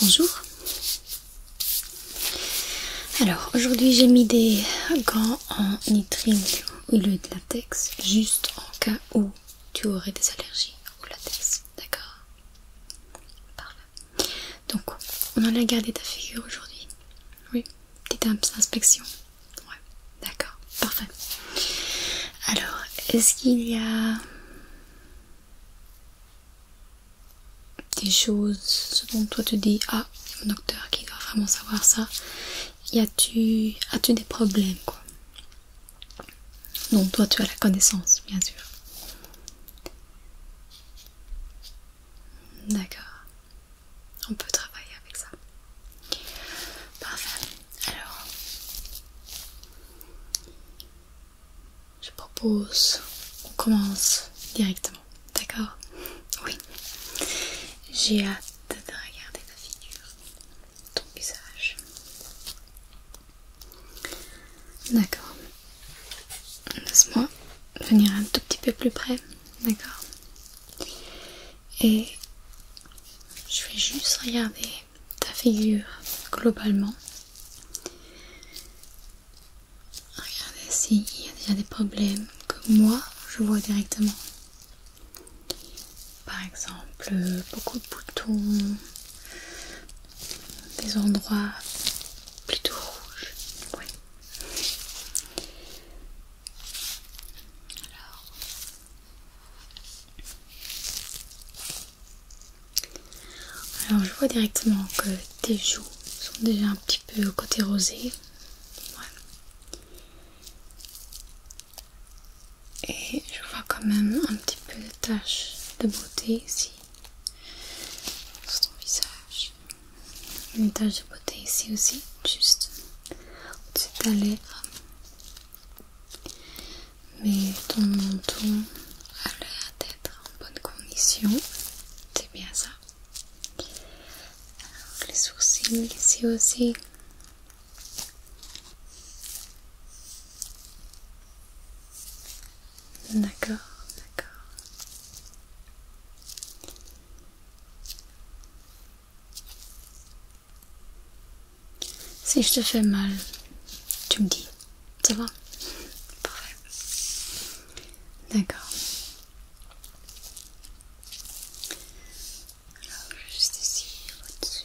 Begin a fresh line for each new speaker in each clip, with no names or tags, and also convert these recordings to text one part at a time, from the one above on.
Bonjour. Alors aujourd'hui j'ai mis des gants en nitrine au lieu de latex, juste en cas où tu aurais des allergies au latex, d'accord Parfait. Donc, on en a gardé ta figure aujourd'hui Oui, petite inspection. Ouais, d'accord, parfait. Alors, est-ce qu'il y a des choses, dont toi tu dis, ah, il mon docteur qui doit vraiment savoir ça Y a tu as des problèmes, quoi Non, toi tu as la connaissance, bien sûr. D'accord. On peut travailler avec ça. Parfait. Alors, je propose qu'on commence directement. D'accord Oui. J'ai hâte de regarder ta figure, ton visage. D'accord. Laisse-moi venir un tout petit peu plus près, d'accord Et je vais juste regarder ta figure globalement. Regardez s'il y a déjà des problèmes que moi je vois directement. Par exemple, beaucoup de boutons, des endroits plutôt rouges. Oui, alors. je vois directement que tes joues sont déjà un petit peu côté rosé. Et je vois quand même un petit peu de taches de beauté ici sur ton visage. L'unité, de beauté ici aussi, juste au-dessus de ta lèvre. Mais ton menton a l'air d'être en bonne condition. C'est bien ça. les sourcils ici aussi. D'accord, d'accord. Si je te fais mal, tu me dis, ça va Parfait. D'accord. Alors, juste ici, au-dessus.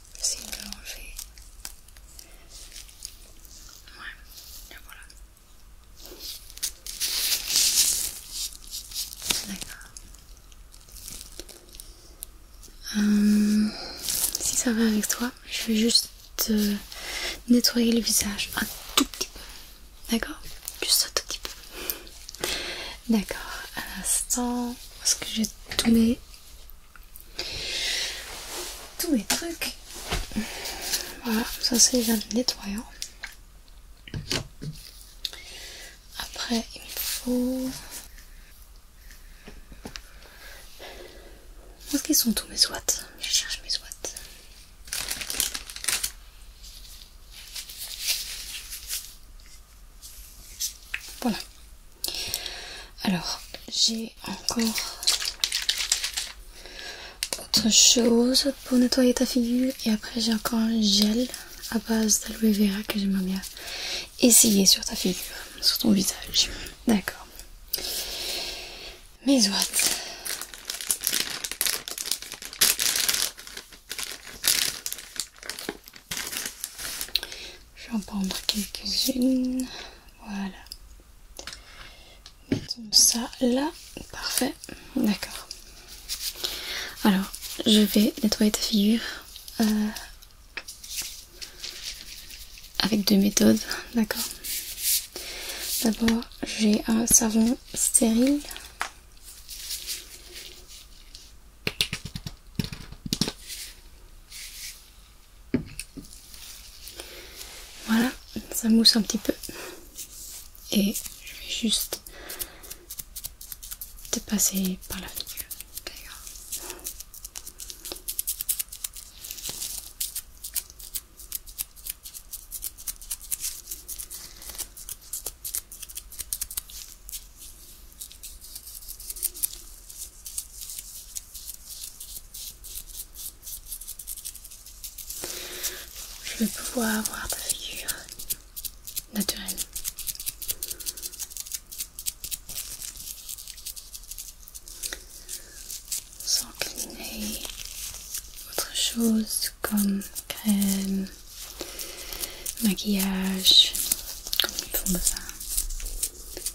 c'est une Ouais, voilà. D'accord. Euh, si ça va avec toi, je vais juste euh, nettoyer le visage un tout petit peu. D'accord Juste un tout petit peu. D'accord. À l'instant, parce que j'ai tourné tous mes trucs. Voilà, ça c'est le nettoyant. Après, il me faut. Où est-ce qu'ils sont tous mes watts Je cherche mes watts. Voilà. Alors, j'ai encore autre chose pour nettoyer ta figure. Et après, j'ai encore un gel à base d'aloe vera que j'aimerais bien essayer sur ta figure, sur ton visage. D'accord. Mais ouates. Je vais en prendre quelques-unes. Voilà. Mettons ça là. Parfait. D'accord. Alors, je vais nettoyer ta figure euh, avec deux méthodes. D'accord. D'abord, j'ai un savon stérile voilà, ça mousse un petit peu. Et je vais juste te passer par la fenêtre. Je vais pouvoir voir ta figure naturelle. Sans cligner autre chose comme crème, maquillage, comme ils font de ça.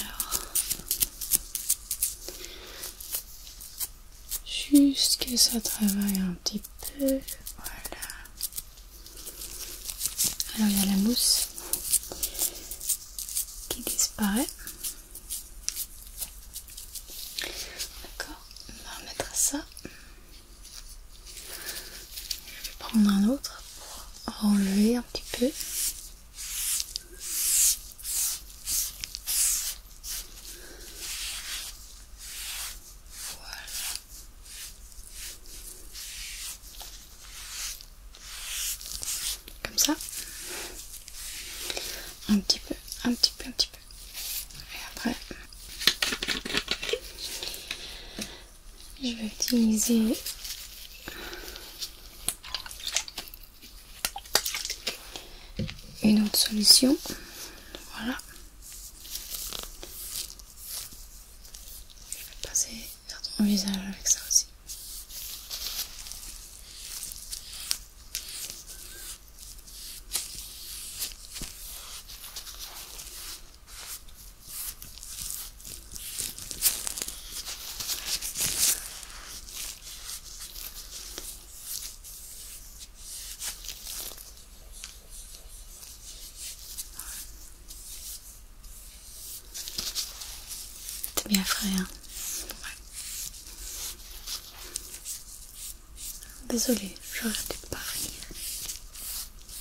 Alors, juste que ça travaille un petit peu, voilà. Alors il y a la mousse qui disparaît. D'accord, on va remettre ça. Je vais prendre un autre pour enlever un petit peu. Voilà. Comme ça. Un petit peu, un petit peu, un petit peu. Et après... Je vais utiliser une autre solution. Voilà. Je vais passer sur ton visage avec ça aussi. T'es bien frère. Hein. désolé je j'aurais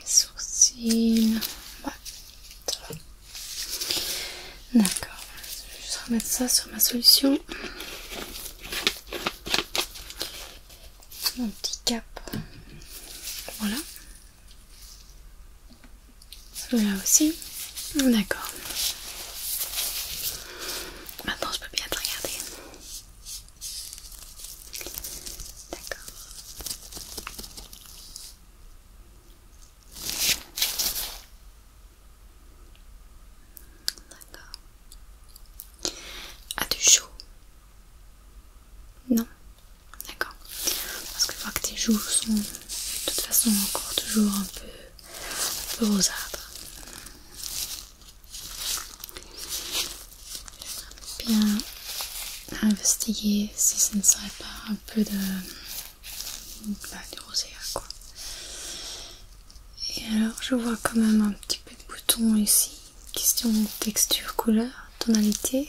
les sourcils. D'accord, je vais juste remettre ça sur ma solution. Mon petit cap. Voilà. Celui-là aussi. D'accord. Maintenant je peux bien regarder. D'accord. D'accord. As-tu chaud Non D'accord. Parce que je crois que tes joues sont de toute façon encore toujours un peu, un peu bien investiguer si ça ne serait pas un peu de, bah, hein, quoi. Et alors je vois quand même un petit peu de boutons ici, question texture, couleur, tonalité.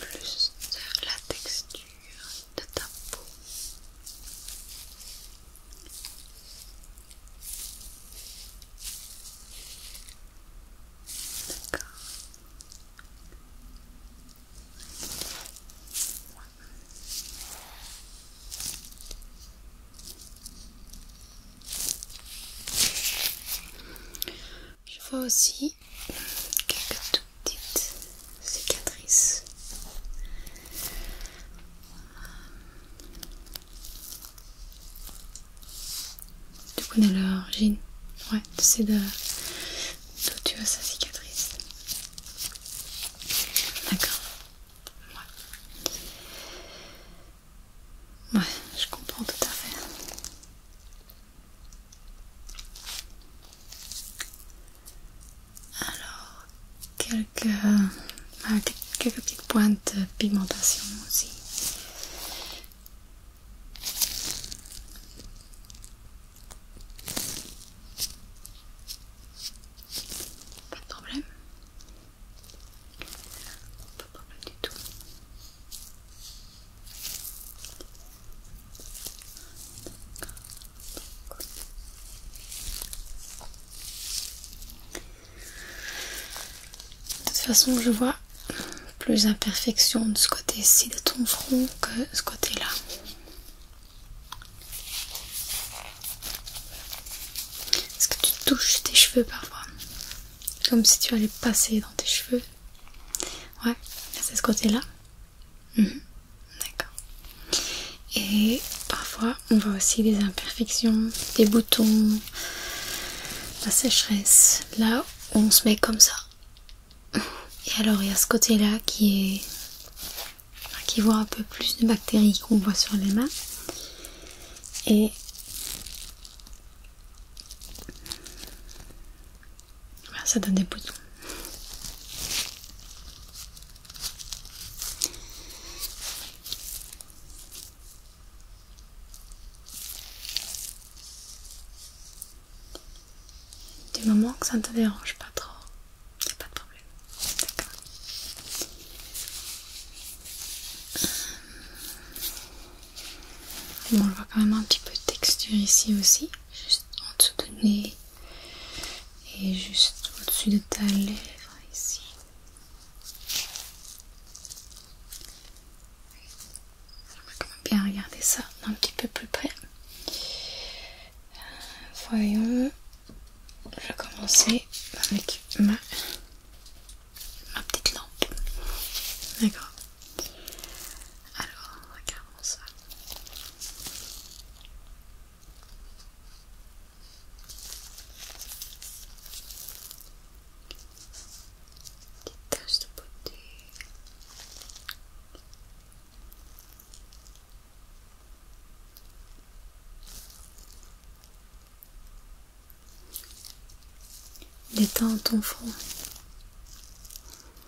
plus la texture de ta peau. D'accord. Je vois aussi quelques toutes petites cicatrices. Tu connais l'origine Ouais, tu sais d'où tu as sa cicatrice. D'accord. Ouais. Ouais, je comprends tout à fait. Alors, quelques, ah, quelques petites pointes de pigmentation aussi. Pas de problème de du tout. toute façon, je vois plus d'imperfections de ce côté-ci de ton front que de ce côté-là. Est-ce que tu touches tes cheveux parfois Comme si tu allais passer dans tes cheveux. Ouais, c'est ce côté-là. Mhm. D'accord. Et parfois, on voit aussi des imperfections, des boutons, la sécheresse. Là, on se met comme ça. Et alors, il y a ce côté-là qui est qui voit un peu plus de bactéries qu'on voit sur les mains. Et ah, ça donne des boutons. Du moment que ça ne te dérange pas trop, y a pas de problème. D'accord on voit quand même un petit peu de texture ici aussi, juste en dessous de nez et juste au-dessus de ta lèvre ici. va quand même bien regarder ça d'un petit peu plus près. Euh, voyons, je vais commencer avec ma petite lampe. D'accord. Alors, regardons ça. Des taches de beauté. Détends ton front.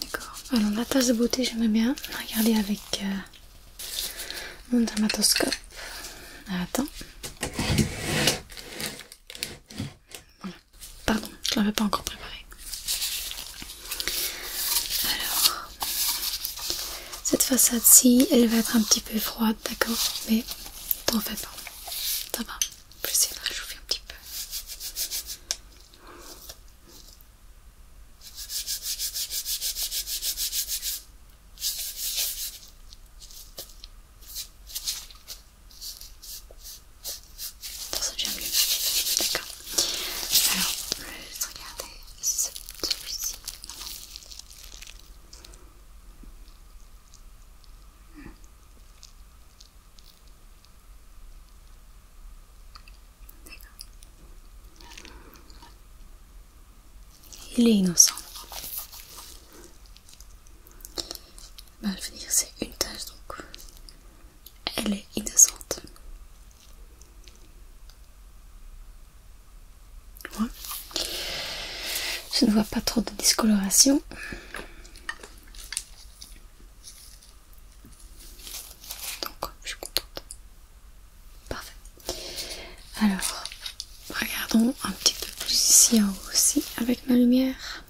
D'accord. Alors la tasse de beauté, j'aime bien regarder avec euh, mon dermatoscope. Ah, attends. Pardon, je ne l'avais pas encore préparé. Alors, cette façade-ci, elle va être un petit peu froide, d'accord Mais en fait. Ça va, je vais essayer de réchauffer un petit peu. Dans ça déjà mieux. D'accord. Alors, je vais juste regarder celui-ci. D'accord. Il est innocent. Bah, c'est une tâche donc elle est innocente. Je ne vois pas trop de discoloration. Donc, je suis contente. Parfait. Alors, regardons un petit peu plus ici aussi avec ma lumière.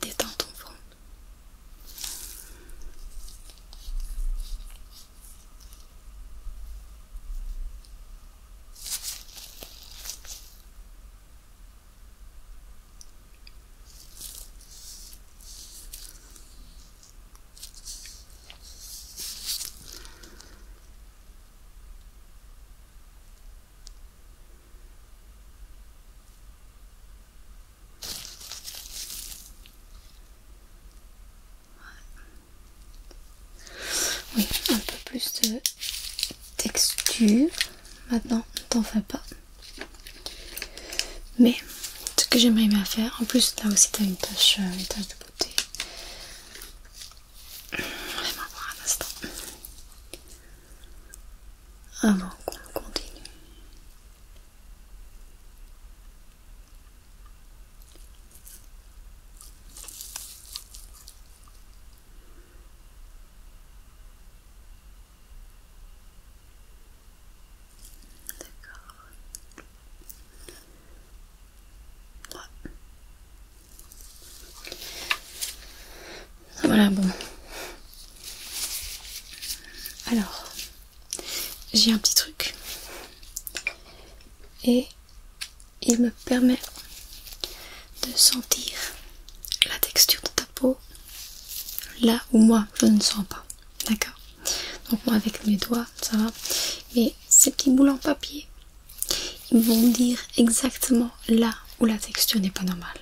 Détends ton front. Oui, un peu plus de texture. Maintenant, t'en fais pas. Mais ce que j'aimerais bien faire. En plus, là aussi, t'as une tâche, euh, une tache de beauté. Vraiment, voir un instant. Avant ah qu'on continue. D'accord. Voilà, bon. Alors, j'ai un petit truc. Et il me permet de sentir la texture de ta peau là où moi je ne sens pas. D'accord donc moi avec mes doigts, ça va. Mais ces petits boules en papier, ils vont dire exactement là où la texture n'est pas normale.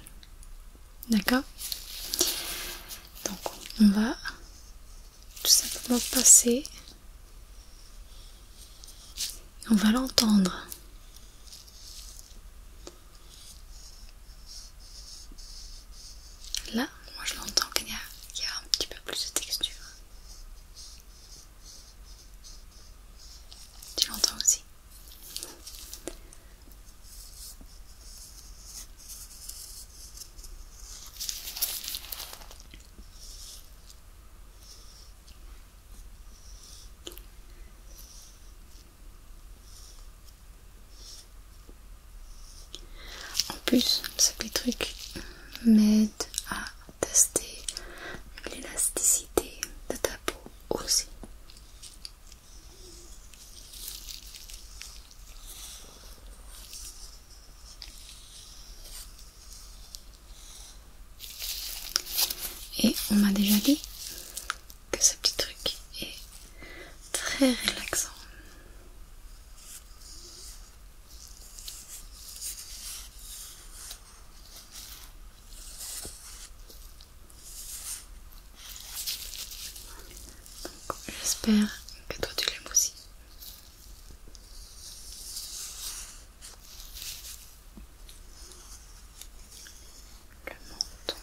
D'accord Donc on va tout simplement passer. on va l'entendre. Là, moi je l'entends qu'il y, a un petit peu plus de texture. Tu l'entends aussi en plus, ce petit truc m'aide à tester l'élasticité de ta peau aussi. Et on m'a déjà dit que ce petit truc est très relaxant. J'espère que toi tu l'aimes aussi. Le menton.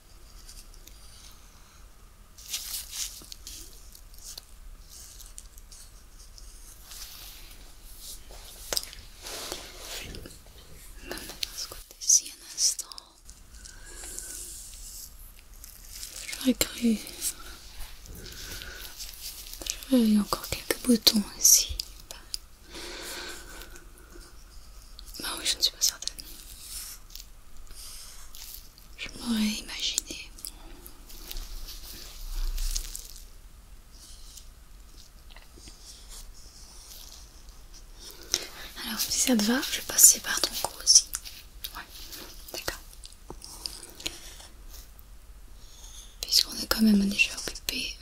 Maintenant, ce côté un instant. J'aurais cru. J'aurais encore quelques boutons ici. bah oui, je ne suis pas certaine je m'aurais imaginé. Alors, si ça te va, je vais passer par ton cou aussi. Ouais, d'accord. Puisqu'on est quand même déjà occupé.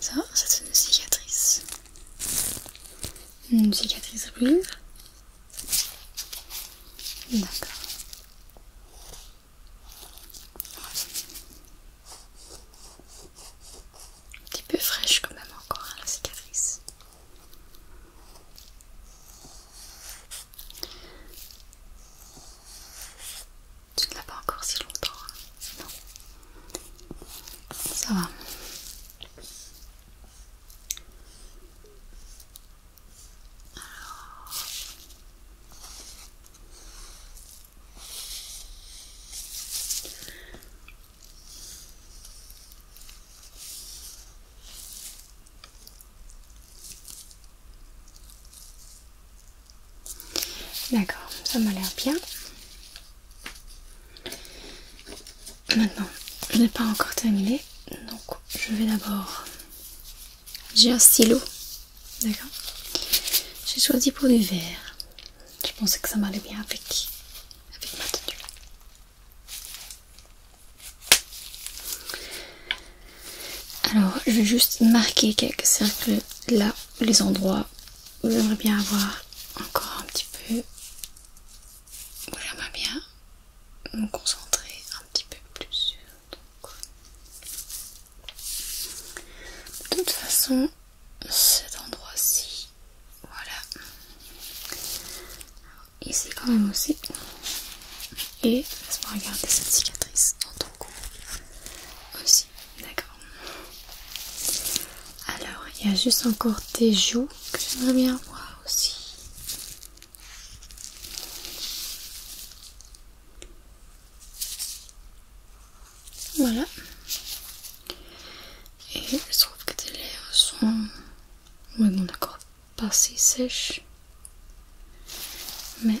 Ça, ça c'est une cicatrice. Une cicatrice rouge. D'accord. Un petit peu fraîche quand même encore hein, la cicatrice. Tu ne l'as pas encore si longtemps. Hein. non. Ça va. Alors... D'accord, ça m'a l'air bien. Maintenant, je n'ai pas encore terminé, donc je vais d'abord... J'ai un stylo, d'accord J'ai choisi pour du vert. Je pensais que ça m'allait bien avec, avec ma tenue. Alors, je vais juste marquer quelques cercles là, les endroits où j'aimerais bien avoir encore un petit peu. Où j'aimerais bien me concentrer un petit peu plus. Donc. De toute façon, cet endroit-ci. Voilà. Ici quand même aussi. Et laisse-moi regarder cette cicatrice dans ton cou. Aussi, d'accord. Alors, il y a juste encore tes joues que j'aimerais bien voir aussi. Voilà. Et je trouve que tes lèvres sont... Oui bon d'accord, pas si sèches. Mais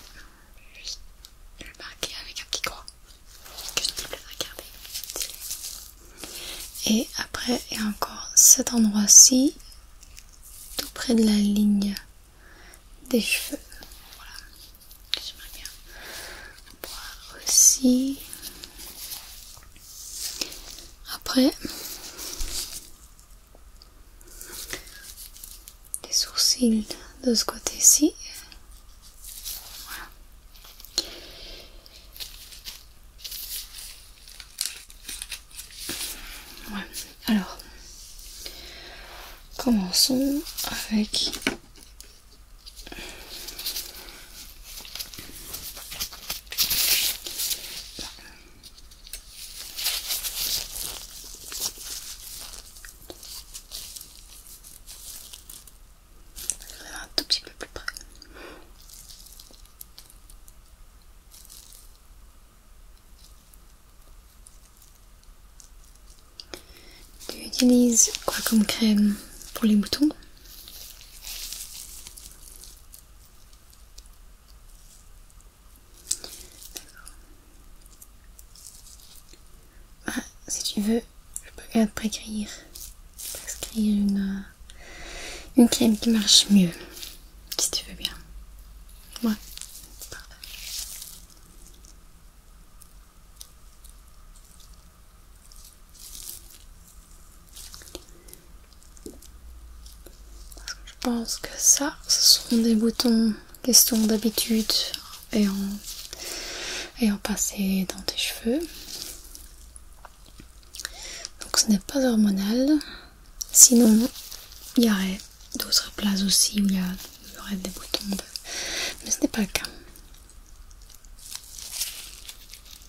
je vais le marquer avec un petit croix. Que je ne peux à Et après, il y a encore cet endroit-ci, tout près de la ligne des cheveux. Voilà boire aussi. Après, les sourcils de ce côté-ci. Alors, commençons avec un tout petit peu plus près. Tu utilises quoi comme crème pour les moutons? si tu veux, je peux te prescrire, prescrire une, euh, une crème qui marche mieux, si tu veux bien. Je pense que ça, ce sont des boutons question d'habitude ayant passé dans tes cheveux. Donc ce n'est pas hormonal. Sinon, il y aurait d'autres places aussi où il y, aurait des boutons. Mais ce n'est pas le cas.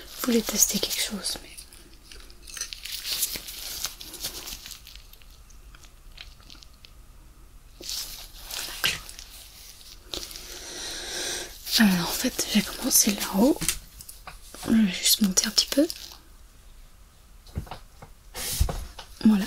Je voulais tester quelque chose, mais. Alors en fait, j'ai commencé là-haut. Je vais juste monter un petit peu. Voilà.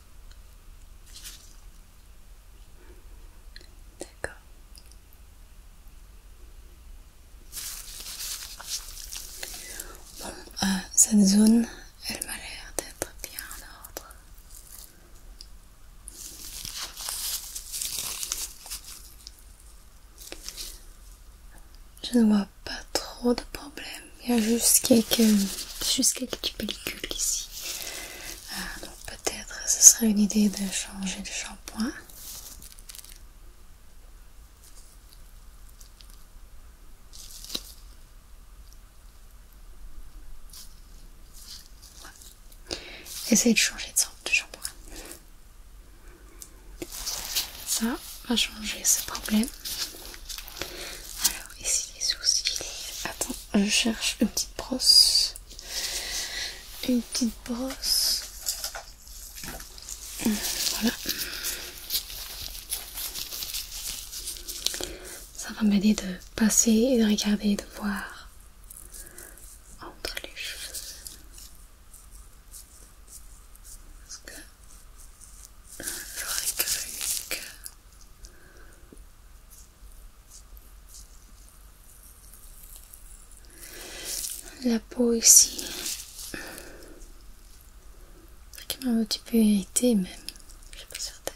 D'accord. Bon, euh, cette zone, elle m'a l'air d'être bien en ordre. Je ne vois pas trop de problèmes. Il y a juste quelques, pellicules ici. Ah, donc peut-être ce serait une idée de changer de shampoing. Essayez de changer de de shampoing. Ça va changer ce problème ici les sourcils. Attends, je cherche une petite brosse. Une petite brosse. Hum, voilà. Ça va m'aider de passer et de regarder et de voir entre les cheveux. Parce que euh, j'aurais cru que la peau ici, qui m'a un petit peu irritée, même, je ne suis pas certaine.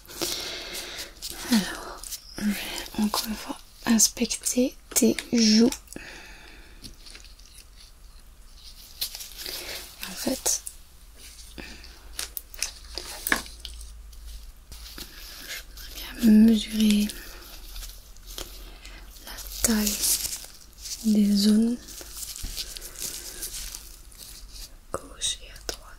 Alors, je vais encore une fois inspecter tes joues. En fait, je bien mesurer la taille des zones gauche et à droite.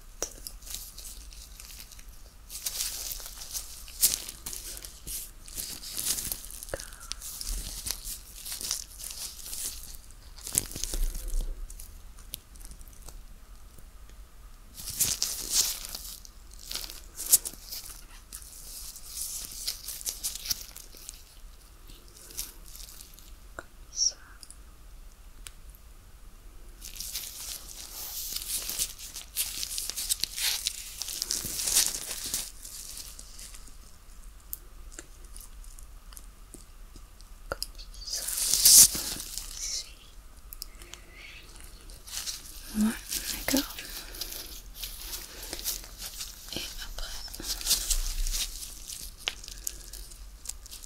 ça. Comme ça, Ouais, d'accord. Et après,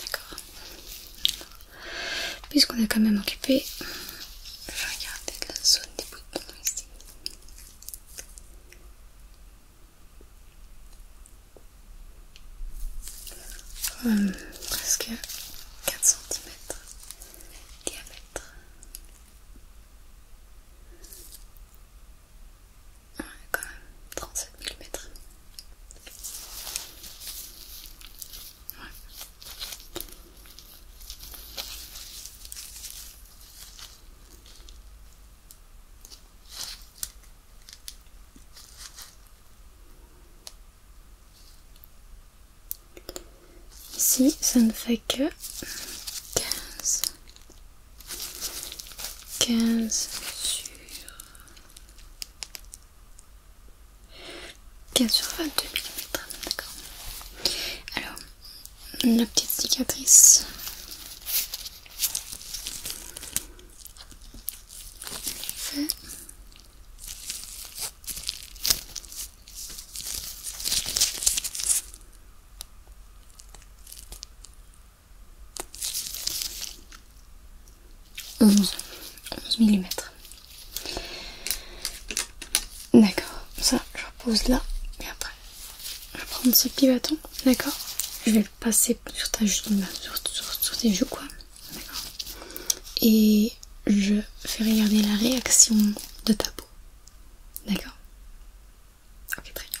D'accord. Puisqu'on est quand même occupé, je vais regarder la zone des boutons ici. Hum, presque 4 cm diamètre. Ouais, quand même, 37 mm. Ici, ça ne fait que 15. 15 sur 15 sur 22 mm, d'accord. Alors, la petite cicatrice. 11, 11 mm. D'accord, ça je repose là. Et après, je vais prendre ce petit bâton, d'accord Je vais le passer sur ta sur, tes joues, quoi. D'accord Et je fais regarder la réaction de ta peau. D'accord Ok, très bien.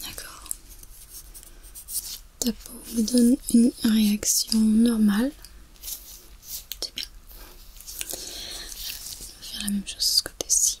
D'accord. Ta peau me donne une réaction normale. C'est bien. On va faire la même chose de ce côté-ci.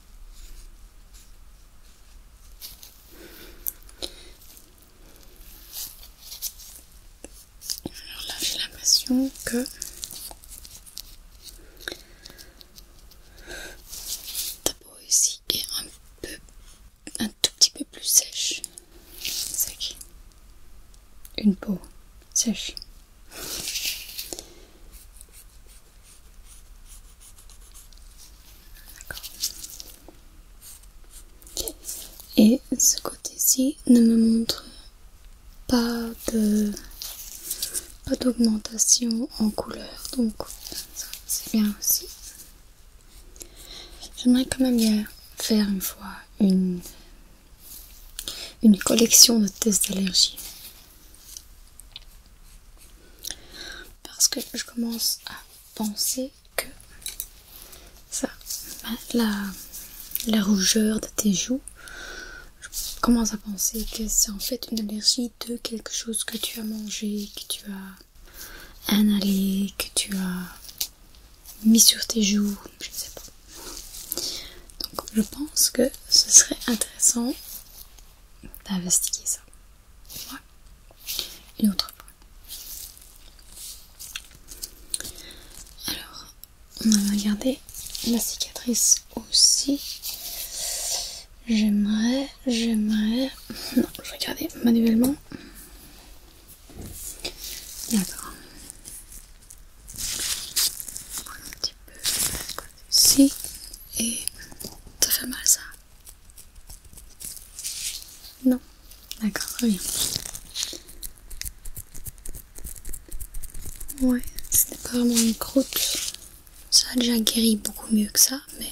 Alors là, j'ai l'impression que ta peau ici est un peu, un tout petit peu plus sèche. Sec. Une peau sèche. Et ce côté-ci ne me montre pas de d'augmentation en couleur, donc c'est bien aussi. J'aimerais quand même bien faire une fois une collection de tests d'allergie parce que je commence à penser que ça, ben, la, rougeur de tes joues, je commence à penser que c'est en fait une allergie de quelque chose que tu as mangé, que tu as inhalé, que tu as mis sur tes joues, je ne sais pas. Donc je pense que ce serait intéressant d'investiguer ça. Ouais. Une autre fois. Alors, on va regarder la cicatrice aussi. J'aimerais, j'aimerais... Non, je vais regarder manuellement. D'accord. Si et ça fait mal ça Non D'accord, rien. Ouais, c'était pas vraiment une croûte. Ça a déjà guéri beaucoup mieux que ça, mais...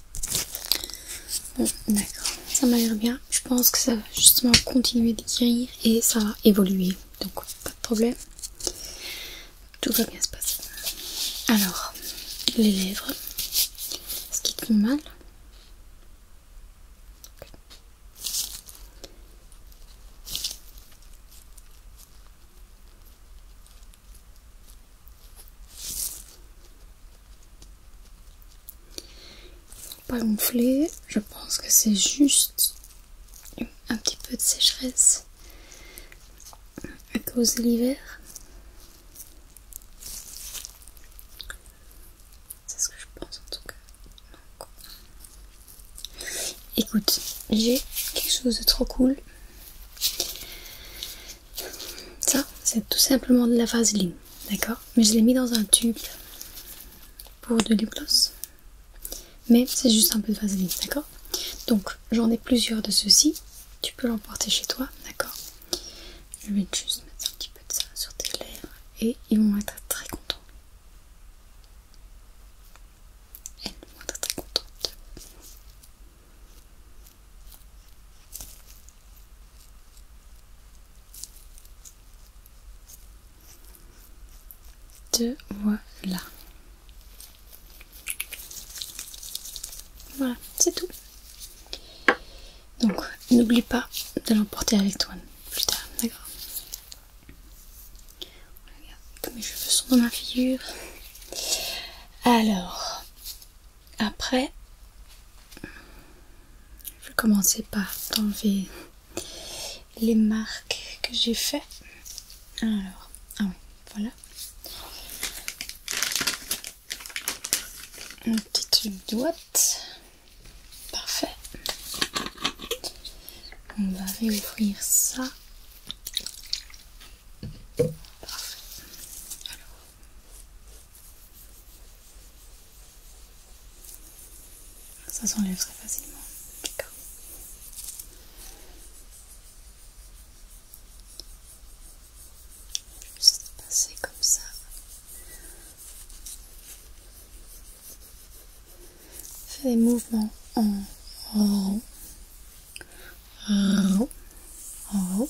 Bon, euh, d'accord, ça m'a l'air bien. Je pense que ça va justement continuer de guérir et ça va évoluer. Donc, pas de problème. Tout va bien se passer. Alors, les lèvres. ce qui te mal pas gonflé, je pense que c'est juste un petit peu de sécheresse à cause de l'hiver. C'est ce que je pense en tout cas. Écoute, j'ai quelque chose de trop cool. Ça, c'est tout simplement de la vaseline, d'accord Mais je l'ai mis dans un tube pour de l'hypnose. Mais c'est juste un peu de vaseline, d'accord Donc, j'en ai plusieurs de ceux-ci. Tu peux l'emporter chez toi, d'accord Je vais juste mettre un petit peu de ça sur tes lèvres et ils vont être très contents. Elles vont être très contentes voilà. Voilà, c'est tout. Donc, n'oublie pas de l'emporter avec toi plus tard, d'accord Regarde, mes cheveux sont dans ma figure. Alors, après, je vais commencer par enlever les marques que j'ai fait. Alors, ah oui, voilà. Une petite boîte. Parfait. On va réouvrir ça. Parfait. Alors, ça s'enlève très facilement. D'accord. Juste passer comme ça. Fais des mouvements en haut. En haut. En haut.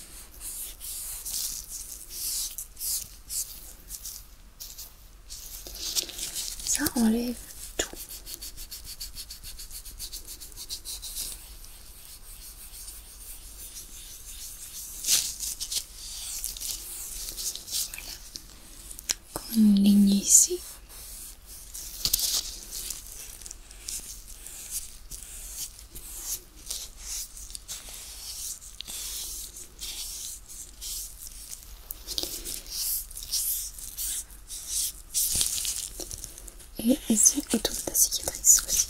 Ça enlève tout. Voilà. Une ligne ici. Et ici autour de la cicatrice aussi.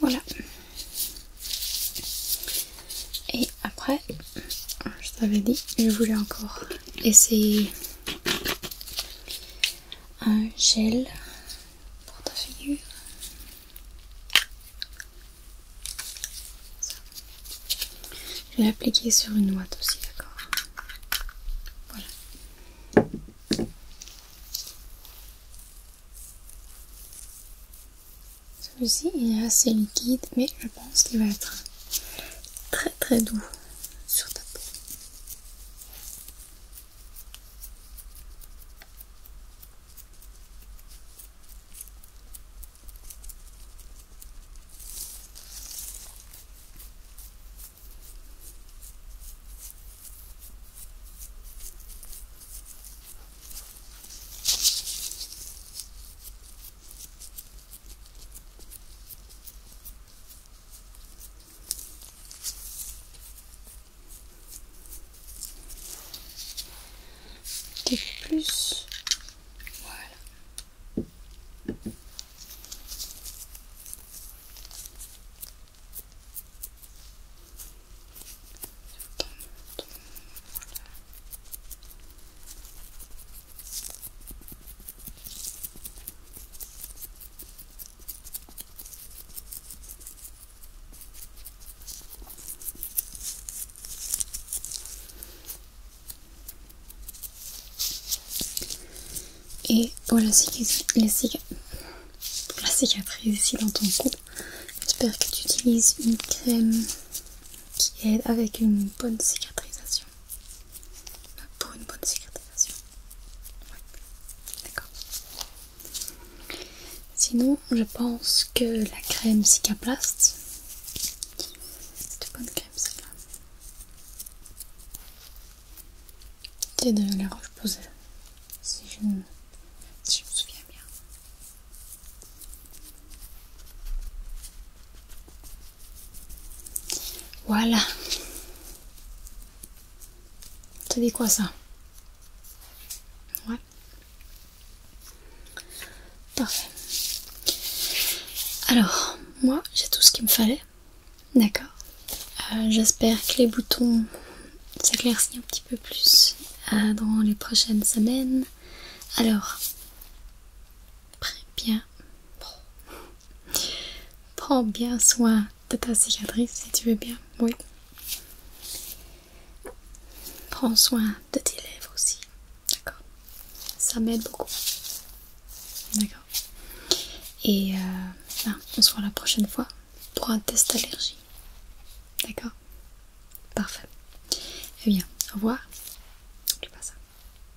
Voilà. Et après, je t'avais dit, je voulais encore essayer un gel pour ta figure. Je vais l'appliquer sur une ouate aussi, d'accord Voilà. Celui-ci est assez liquide, mais je pense qu'il va être très très doux sur ta peau plus voilà. Et pour la, cicatrice ici dans ton cou, j'espère que tu utilises une crème qui aide avec une bonne cicatrisation pour une bonne cicatrisation. D'accord. Sinon, je pense que la crème Cicaplast, c'est une bonne crème celle C'est de la roche posée, si je me souviens bien. Voilà. Tu dis quoi ça Ouais. Parfait. Alors, moi, j'ai tout ce qu'il me fallait. D'accord. Euh, j'espère que les boutons s'éclaircissent un petit peu plus euh, dans les prochaines semaines. Alors, bien, prends bien soin de ta cicatrice si tu veux bien, oui. Prends soin de tes lèvres aussi, d'accord Ça m'aide beaucoup, d'accord Et euh, ben, on se voit la prochaine fois pour un test allergie, d'accord Parfait. Eh bien, au revoir. N'oublie pas ça.